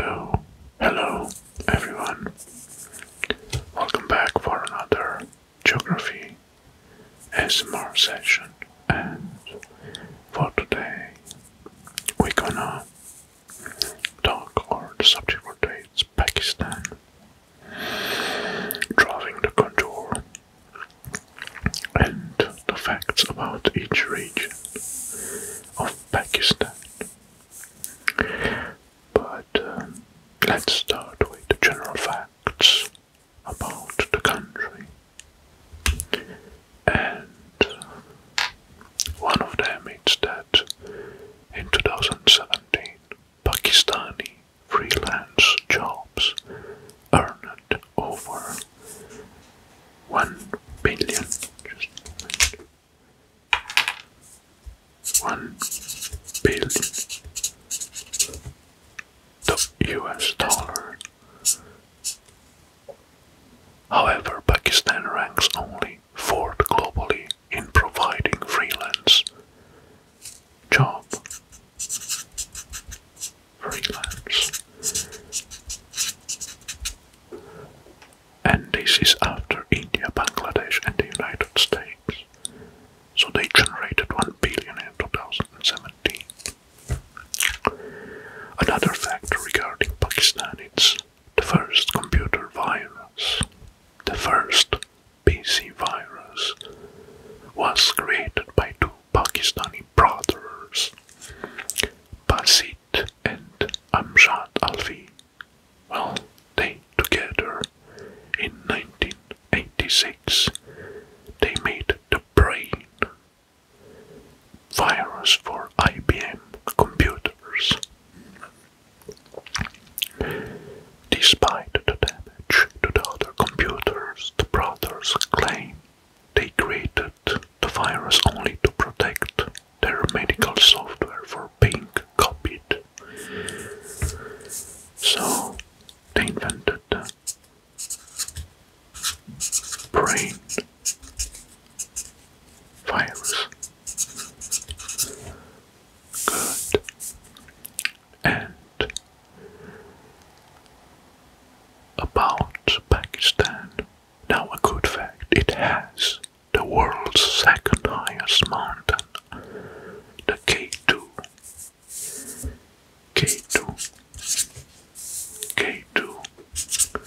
Oh, hello everyone. Welcome back for another geography S M R session and for today we're gonna talk or the subject for today is Pakistan. driving the contour and the facts about each region of Pakistan. But um, let's start with the general facts about the country. And one of them is that in 2017, Pakistani freelance jobs earned over 1 billion. One billion the US dollars. However, Pakistan ranks only fourth globally in providing freelance jobs. freelance. And this is after India, Bangladesh and the United States. So they generated 1 billion in 2017. Another factor regarding Pakistan is the first computer virus, the first PC virus, was created by two Pakistani brothers, Basit and Amjad Alvi. Well, they together in 1986 they made the brain virus for IBM computers. Despite the damage to the other computers, the brothers claim they created the virus only to protect their medical software for being copied. So they invented brain virus. Good. And about Pakistan. Now, a good fact it has the world's second highest mountain, the K2. K2. K2 mountain.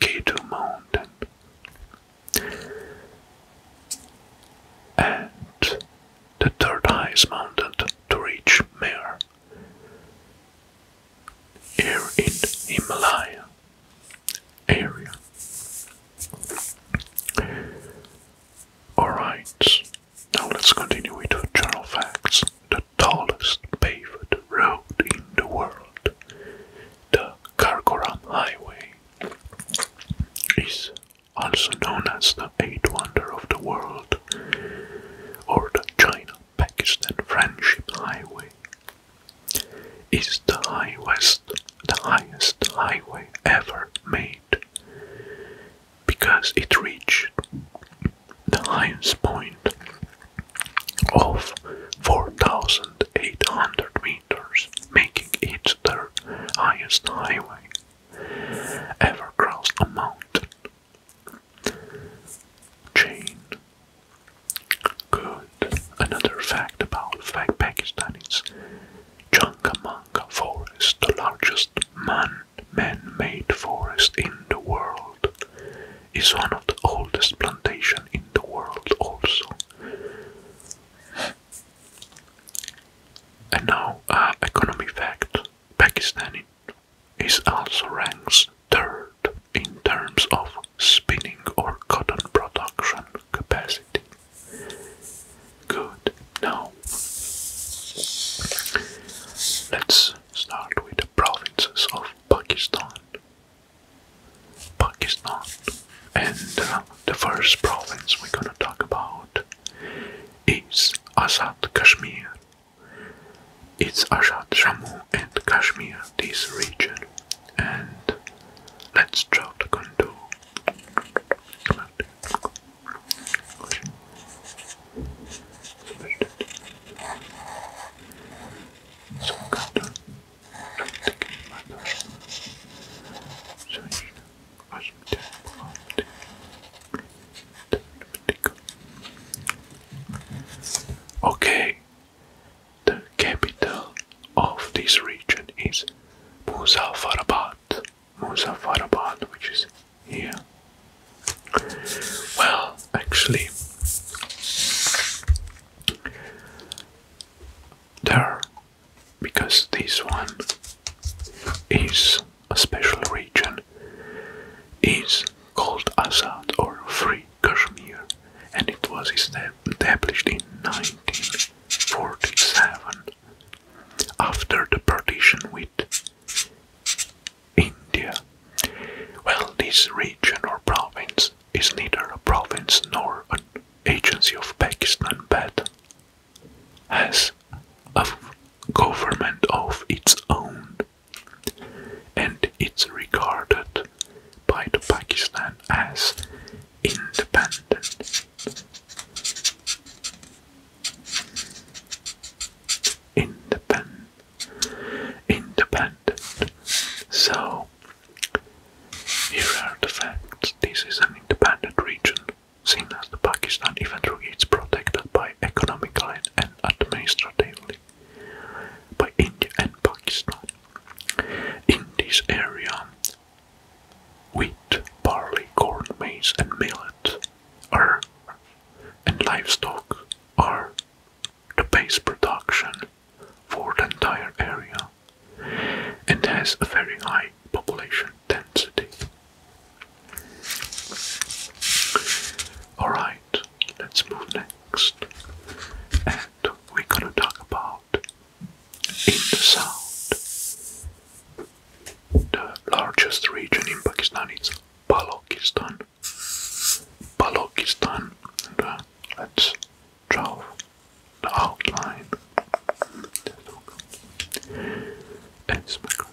Cato Mountain. And the third highest mountain to reach Mare. Here in Himalaya area. Alright, now let's continue with general facts. The tallest paved road in the world, the Karakoram Highway, is also known as the Eighth Wonder of the World or the China Pakistan Friendship Highway. Is the high west, the highest highway ever made because it reached the highest point of 4,800 meters, making it the highest highway ever crossed a mountain. Chain. Good. Another fact about Pakistan is Chunkamanga Forest, the largest man made forest in the world, is one of the oldest plantations in the world also. And now, economy fact, Pakistan is also ranks third in terms of spinning or cotton production capacity. Good. Now, let's start with the provinces of Pakistan. Pakistan. And uh, the first province we're gonna talk about is Azad Kashmir. It's Azad Jammu and Kashmir, this region. And let's draw the contour. Okay, the capital of this region is Muzaffarabad. Muzaffarabad, which is here. Well, actually, there, because this one is a special region, is called Azad or Free Kashmir, and it was established in 1947 after the partition with India. Well, this region or province is neither a province nor an agency of Pakistan but has a government of its own and it's regarded by the Pakistan as independent. Independent. Independent. So, here are the facts. This is an independent region, seen as the Pakistan, even though it's protected by economically and administratively by India and Pakistan. In this area, wheat, barley, corn, maize, and millet are and livestock are the base production for the entire area and has a very high population density. Alright, let's move next. And we're gonna talk about in the south the largest region in Pakistan is Balochistan. Balochistan. Uh, let's draw the outline. That's my card.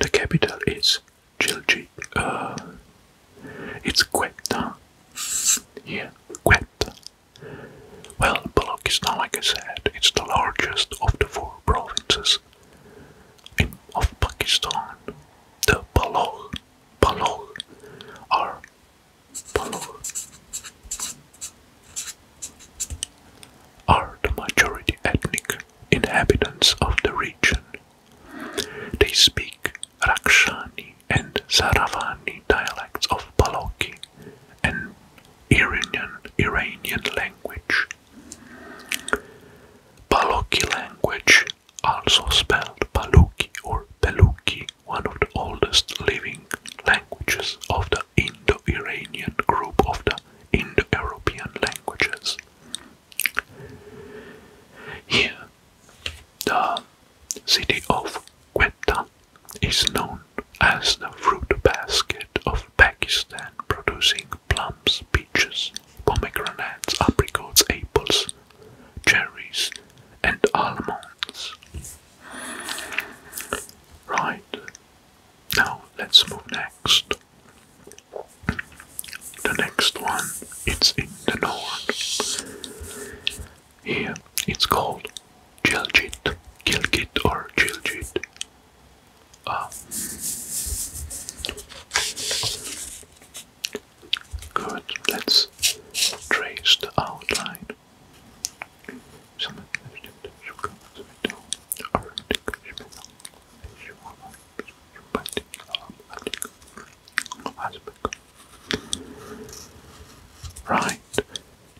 The capital is Chilchi. Uh, it's Quetta. Yeah, Quetta. Well, Balochistan, like I said, it's the largest of the four provinces of Pakistan. The Baloch Balog, are are the majority ethnic inhabitants of the region. They speak Rakshani and Saravani dialects of Balochi, an Iranian, Iranian language. Balochi language, also spelled Baluki or Beluki, one of the oldest living languages of the Indo-Iranian group of the in the european languages. Here, the city of Quetta is known as the fruit basket of Pakistan, producing plums, peaches, pomegranates, apricots, apples, cherries, and almonds. Right, now let's move next. The next one, it's in the north. Here it's called Gilgit, Gilgit or Gilgit. Ah. Good, let's trace the outline. Right,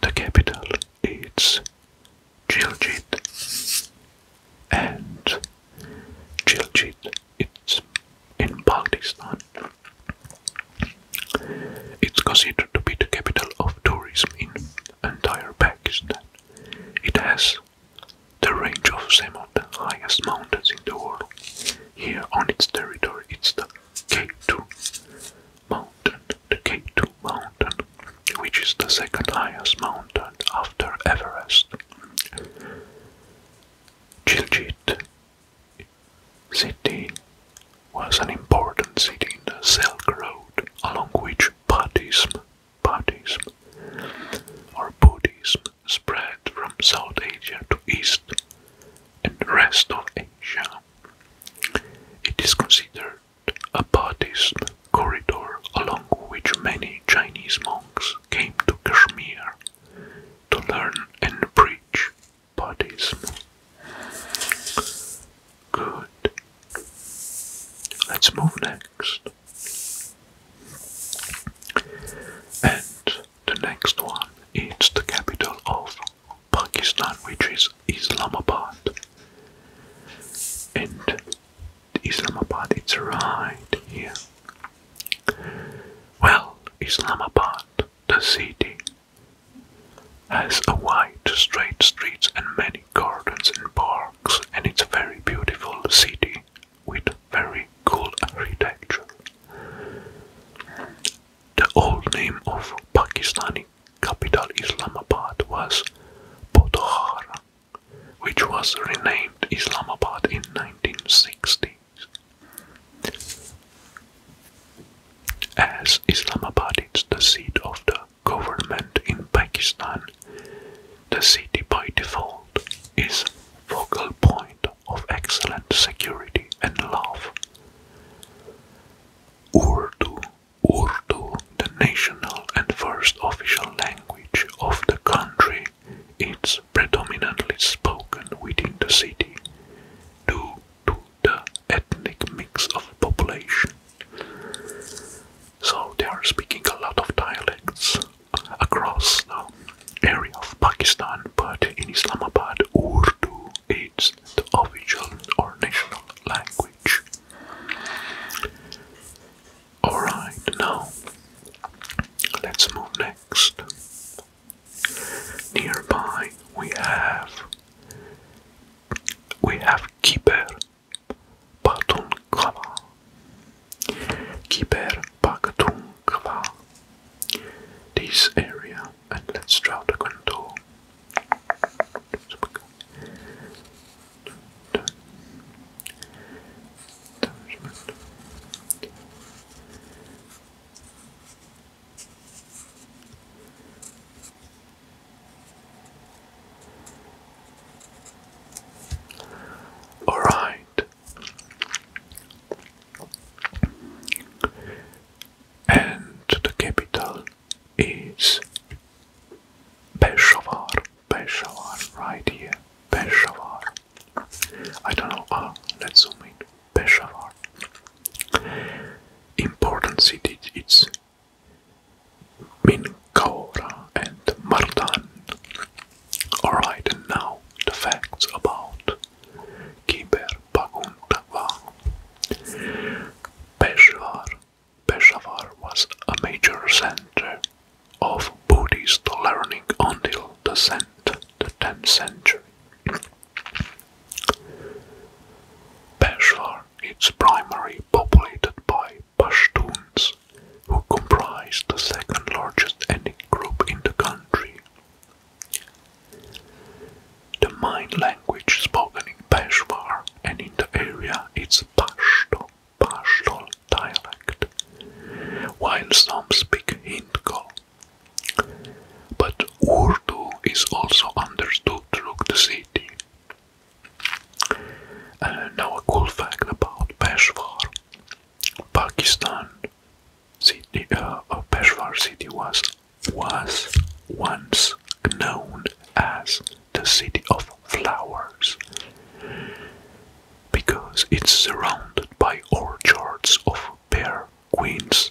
the capital is Gilgit, and Gilgit it's in Pakistan. It's considered to be the capital of tourism in entire Pakistan. It has the range of some of the highest mountains in the world. Here on its territory is the K2 mountain, the K2 mountain, which is the second highest mountain after Everest. Chilchit city was an important city in the Silk Road, along which Buddhism parties or Buddhism spread from South Asia to East and rest of Asia. It is considered a Buddhist corridor along which many Chinese monks came to Kashmir to learn and preach Buddhism. Good. Let's move next. And the next one is the capital of Pakistan, which is Islamabad. And Islamabad it's right here. Well, Islamabad, the city, has a wide, straight streets and many gardens and parks, and it's a very beautiful city with very cool architecture. The old name of Pakistani capital Islamabad was Potohara, which was renamed Islamabad in 1960s. As Islamabad is the seat of the government in Pakistan, the city by default is focal point of excellent security and love. Urdu, Urdu, the national and first official language of the country, is predominantly spoken within the city due to the ethnic mix of population. So they are speaking a lot of dialects across the area of Pakistan, but in Islamabad, Urdu is the official or national language. Alright, now let's move next. Nearby we have we have Khyber Patunkava. Kiper Pakatunkava. This area, and let's draw the contour. All right. And the capital is Peshawar. Peshawar, right here. Peshawar. I don't know. Ah, let's zoom in. Peshawar. Important city. It's Minkora and Mardan. Alright, now the facts about Kiber Paguntava. Peshawar. Peshawar was a major center of Buddhist learning until the, cent the 10th century. Peshawar is primarily populated by Pashtuns, who comprise the second largest ethnic group in the country. The main language spoken in Peshawar and in the area is Pashto, Pashto dialect, while some speak Hindko. But Urdu is also understood throughout the city. Uh, now a cool fact about Peshawar, Pakistan. Uh, uh, Peshawar city was was once known as the city of flowers because it's surrounded by orchards of pear, queens,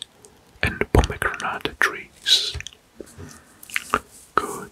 and pomegranate trees. Good.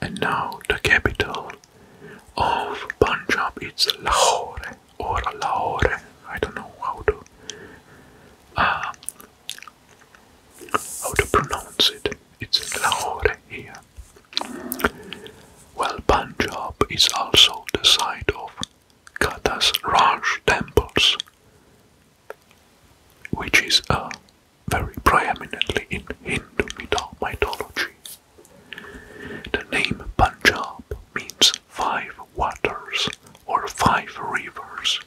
and now the capital of Punjab is Lahore or Lahore. I don't know how to uh, how to pronounce it. It's Lahore here. Well, Punjab is also the site of Kata's Raj temples, which is a very prominently in Hindu mythology. The name Punjab means five waters or five rivers.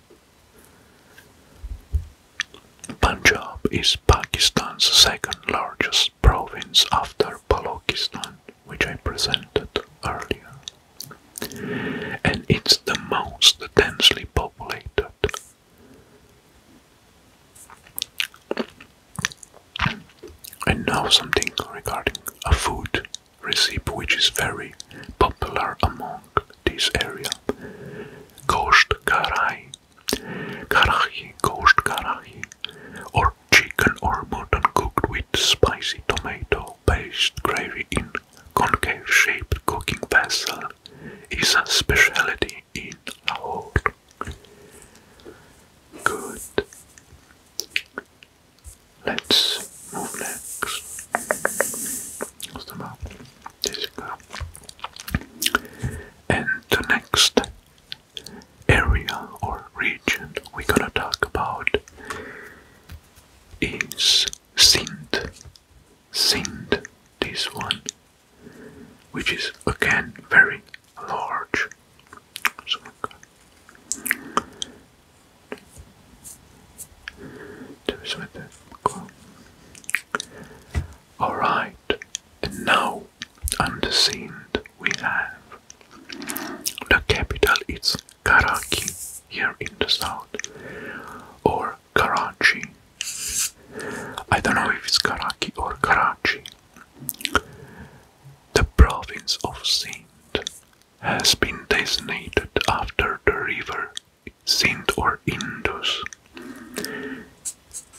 Punjab is Pakistan's second largest province after Balochistan, which I presented earlier, and it's the most densely populated. And now something regarding a food recipe which is very popular among this area. Gosht karahi. Karahi, gosht karahi. Or chicken or mutton cooked with spicy tomato paste gravy in concave shaped cooking vessel is a specialty in Lahore. Good. Let's move next. That's the And the next area or region we're gonna talk about is Sindh. Sindh, this one which is again very large. So Alright, and now on the scene we have the capital is Karachi here in the south or Karachi. I don't know if it's Karachi or Karachi. The province of Sindh has been designated after the river Sindh or Indus.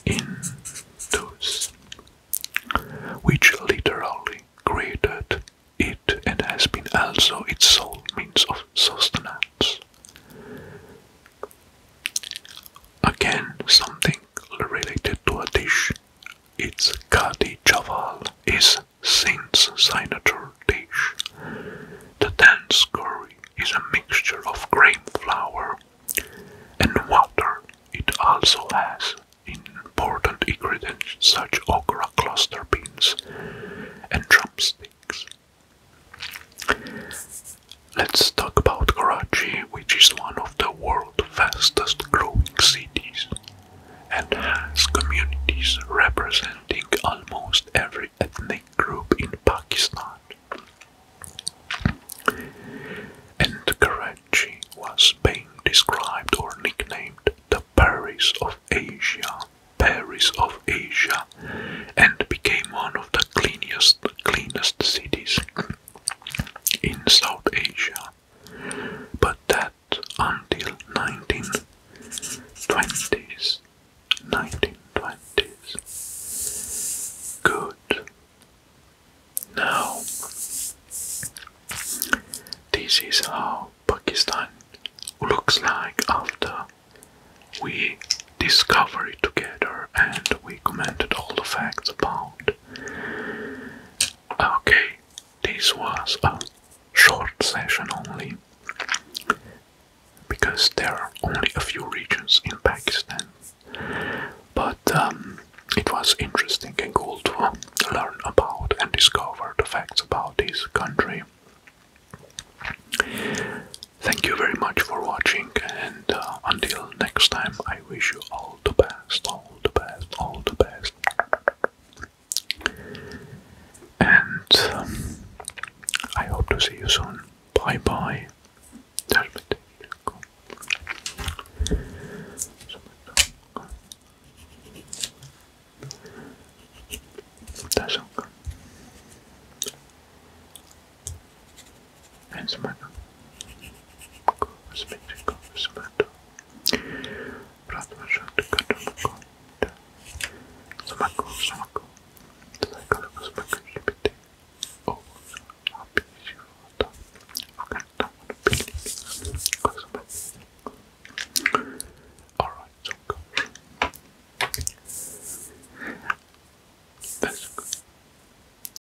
Indus, which literally created it and has been also its sole means of sustenance. Again, something related to a dish. Its kadi chaval is Saint's signature dish. The dance curry is a mixture of grain flour and water. It also has important ingredients such as okra cluster beans and drumsticks. Let's talk about Karachi, which is one of the world's fastest growing cities and has communities representing almost every ethnic group in Pakistan. And Karachi was being described or nicknamed the Paris of Asia, Paris of Asia, and became one of the cleanest, cleanest cities in South Asia, but that until 1920s, 1920s. Good. Now, this is how Pakistan looks like after we discovered it together and we commented all the facts about Okay, this was a short session only because there are only a few regions in Pakistan. But um, it was interesting and cool to learn about and discover the facts about this country. Thank you very much for watching, and uh, until next time, I wish you all all the best, all the best, all the best. And um, I hope to see you soon. Bye bye. Ensimmäinen kosminen kosmento. Ratman syöttö kadon kohta. Sama kuin sama kuin. Tulee kalvas mäkyys piti. Oulussa apisi juota. Rakentaa mun pili. Kosmento. Alright, so go. That's good.